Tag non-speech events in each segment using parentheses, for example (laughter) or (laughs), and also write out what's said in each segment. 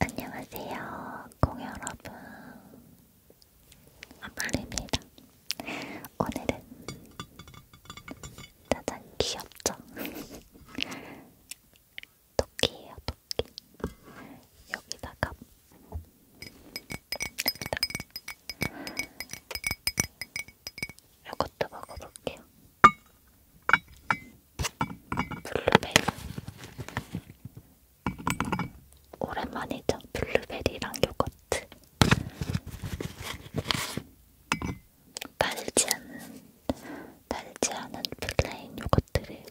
안녕하세요, 공 여러분. 아플립니다. 오늘은 짜잔 귀엽죠? (laughs) 토끼예요, 토끼. 여기다가 여기다. 이것도 먹어볼게요. 블루베리 오랜만이죠 블루베리랑 요거트 달지 않은 달지 않은 플레인 요거트를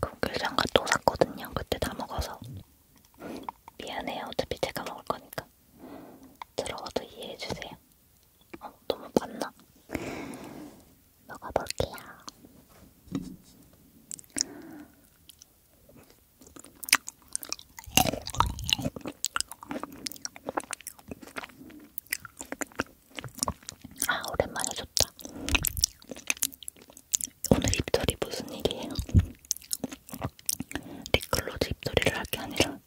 국귤장갑 또 샀거든요. 그때 다 먹어서. 미안해요. 어차피 제가 먹을 거니까. 들어와도 이해해주세요. 어, 너무 많나? 먹어볼게요. 아, 오랜만에 좋다. 오늘 입털이 무슨 일이에요? 립글로즈 입소리를 할 게 아니라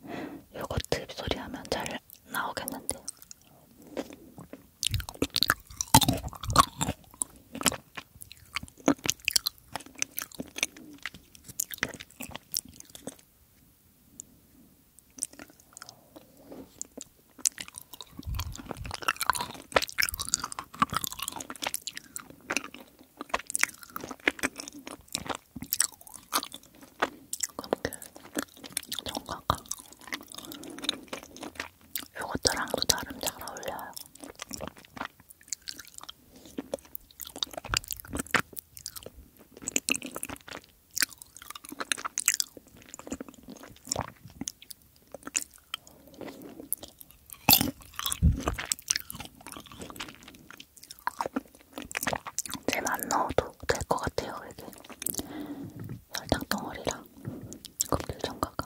요거트 입소리 하면 잘 나오겠는데요. 그렇게 정가가 요것들랑도 나름 잘 어울려요. 잼안 넣어도 될 것 같아요, 이게. 설탕 덩어리랑 껍질 전가가.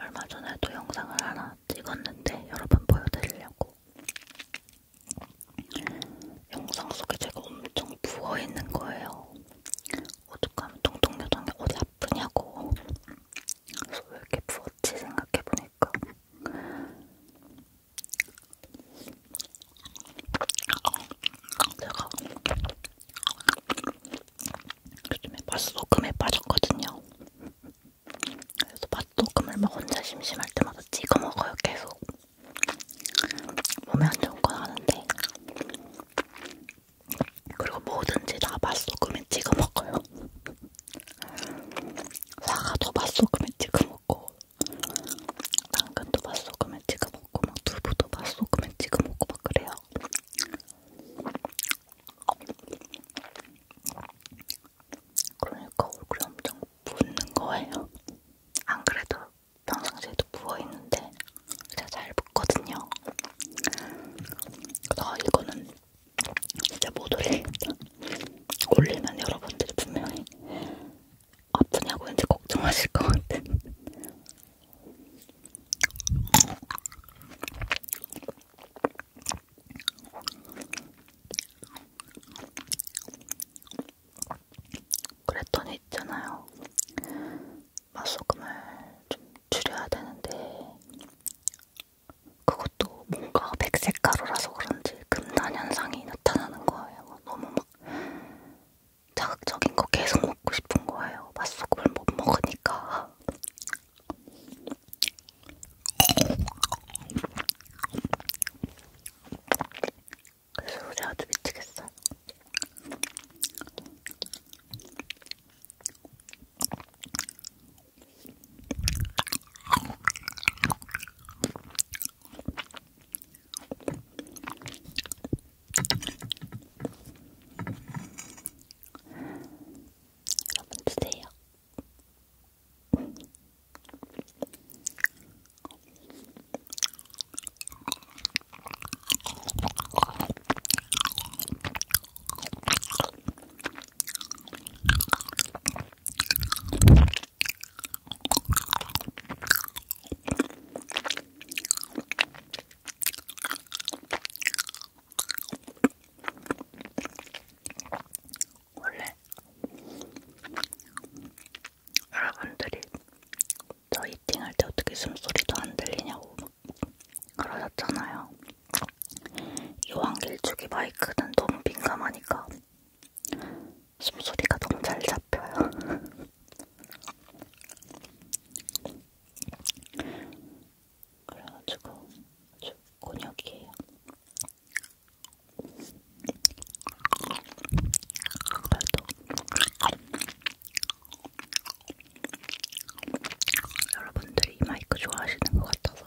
얼마 전에도 영상을 하나 찍었는데 여러 번 보여드리려고 영상 속에 제가 엄청 부어있는 거예요. 오죽하면 통통교정이 어디 아프냐고 그래서 왜 이렇게 부었지 생각해보니까 제가 요즘에 맛소금에 빠졌거든요. 그래서 맛소금을 막 혼자 심심할 때마다 찍어 먹어요, 계속. 몸에 안 좋은 건 아는데. 그리고 뭐든지 다 맛소금에 찍어 먹어요. 사과도 맛소금에 찍어 먹고, 당근도 맛소금에 찍어 먹고, 막 두부도 맛소금에 찍어 먹고 막 그래요. 그러니까 얼굴이 엄청 붓는 거예요. 안 그래도 평상시에도 부어있는데 진짜 잘 붓거든요. 나 이거는 진짜 못 올리겠다. 올리면 여러분들이 분명히 아프냐고 이제 걱정하실 것 같은 그랬더니 있잖아요. 맛소금을 좀 줄여야 되는데 그것도 뭔가 백색 가루라서 그런지 금단 현상이 나타나는 거예요. 너무 막 자극적인 거 계속 먹고 싶은 거예요. 맛소금을 못 먹으니까. 그 소리 아주 미치겠어. 여러분 드세요. 원래 여러분들이 저 히팅할 때 어떻게 숨소리도 안 들리냐고 그러셨잖아요. 요한길쭉이 마이크는 너무 민감하니까 숨소리가 너무 잘 잡혀요. (laughs) 그래가지고 아주 곤욕이에요. 그래도 여러분들이 이 마이크 좋아하시는 것 같아서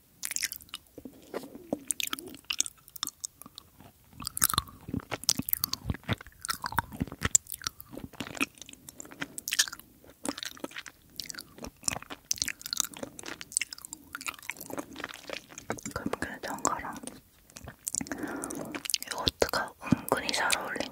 그럼 그래도 거랑 요거트가 은근히 잘 어울리네.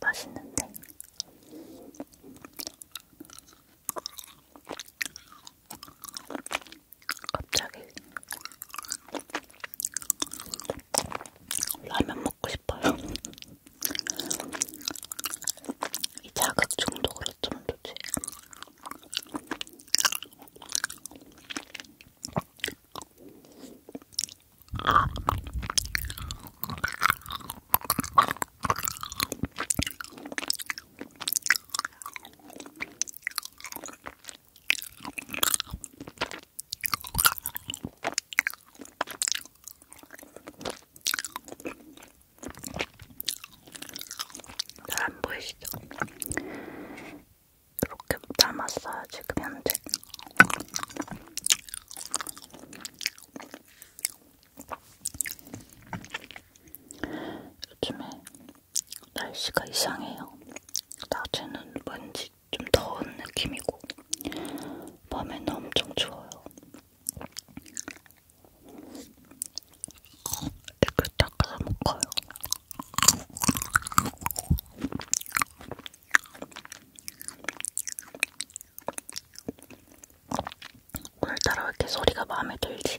맛있는데? 갑자기 라면 먹고 싶어요. 이 자극 중독으로 좀 좋지. 잘안 보이시죠? 이렇게 담았어요 지금 현재. 요즘에 날씨가 이상해요. 낮에는 왠지 좀 더운 느낌이고 밤에는 엄청 추워요. 이렇게 그 닦아서 먹어요. 오늘따라 이렇게 소리가 마음에 들지?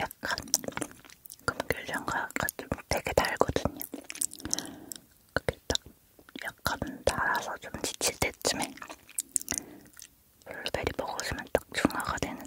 약간 금귤향과 같은 되게 달거든요. 그게 딱 약간 달아서 좀 지칠 때쯤에 블루베리 먹으시면 딱 중화가 되는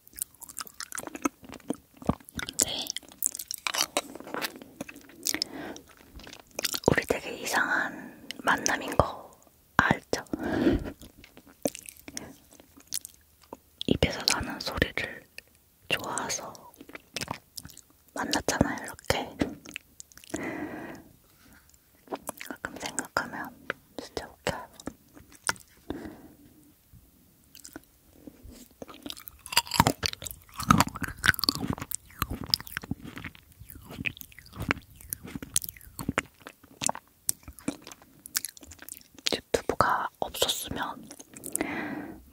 네. 우리 되게 이상한 만남인 거 알죠? (laughs) 입에서 나는 소리를 좋아해서 만났잖아요, 이렇게. 가끔 생각하면 진짜 웃겨요. 유튜브가 없었으면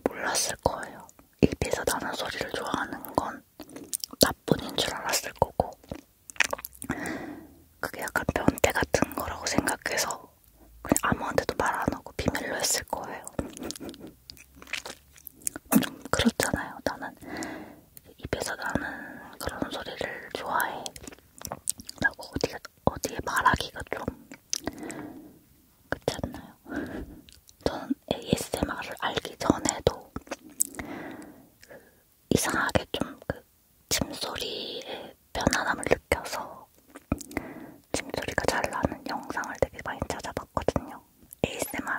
몰랐을 거예요. 입에서 나는 소리를 좋아하는 건 나뿐인 줄 알았을 거고, 그게 약간 변태 같은 거라고 생각해서 그냥 아무한테도 말 안 하고 비밀로 했을 거예요. 좀 그렇잖아요. 나는 입에서 나는 그런 소리를 좋아해. 라고 어디에, 어디에 말하기가 좀 그렇지 않나요? 저는 ASMR을 알기 전에도 그 이상하게 좀그 침소리의 편안함을 느껴서 침소리가 잘 나는 영상을 되게 많이 찾아봤거든요. ASMR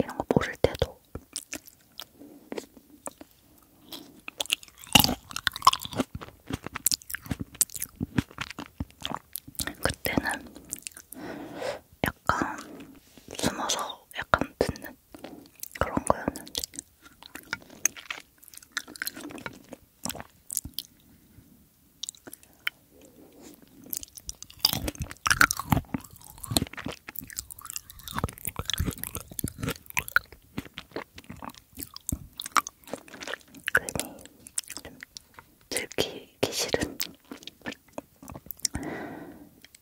이런 거 모를 때도. 그때는 약간 숨어서 약간 듣는 그런 거였는데 괜히 좀 들키기 싫은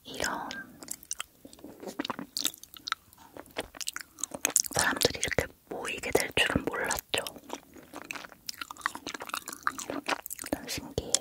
이런 사람들이 이렇게 모이게 될 줄은 몰랐죠. 일단 신기해요.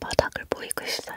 바닥을 보이고 있어요.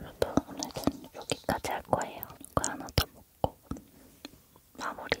여러분 오늘은 여기까지 할 거예요. 이거 하나 더 먹고 마무리.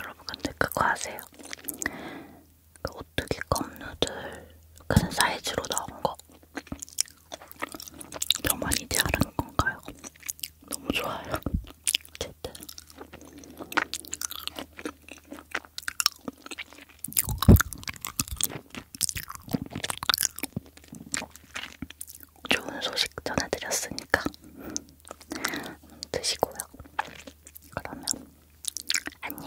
여러분 근데 그거 아세요? 그 오뚜기 껌누들 큰 사이즈로 나온 거 저만 이제 아는 건가요? 너무 좋아요. 어쨌든 좋은 소식 전해드렸으니까 드시고요. 그러면 안녕.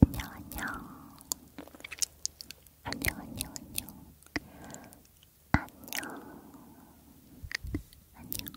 안녕, 안녕. 안녕, 안녕, 안녕. 안녕. 안녕.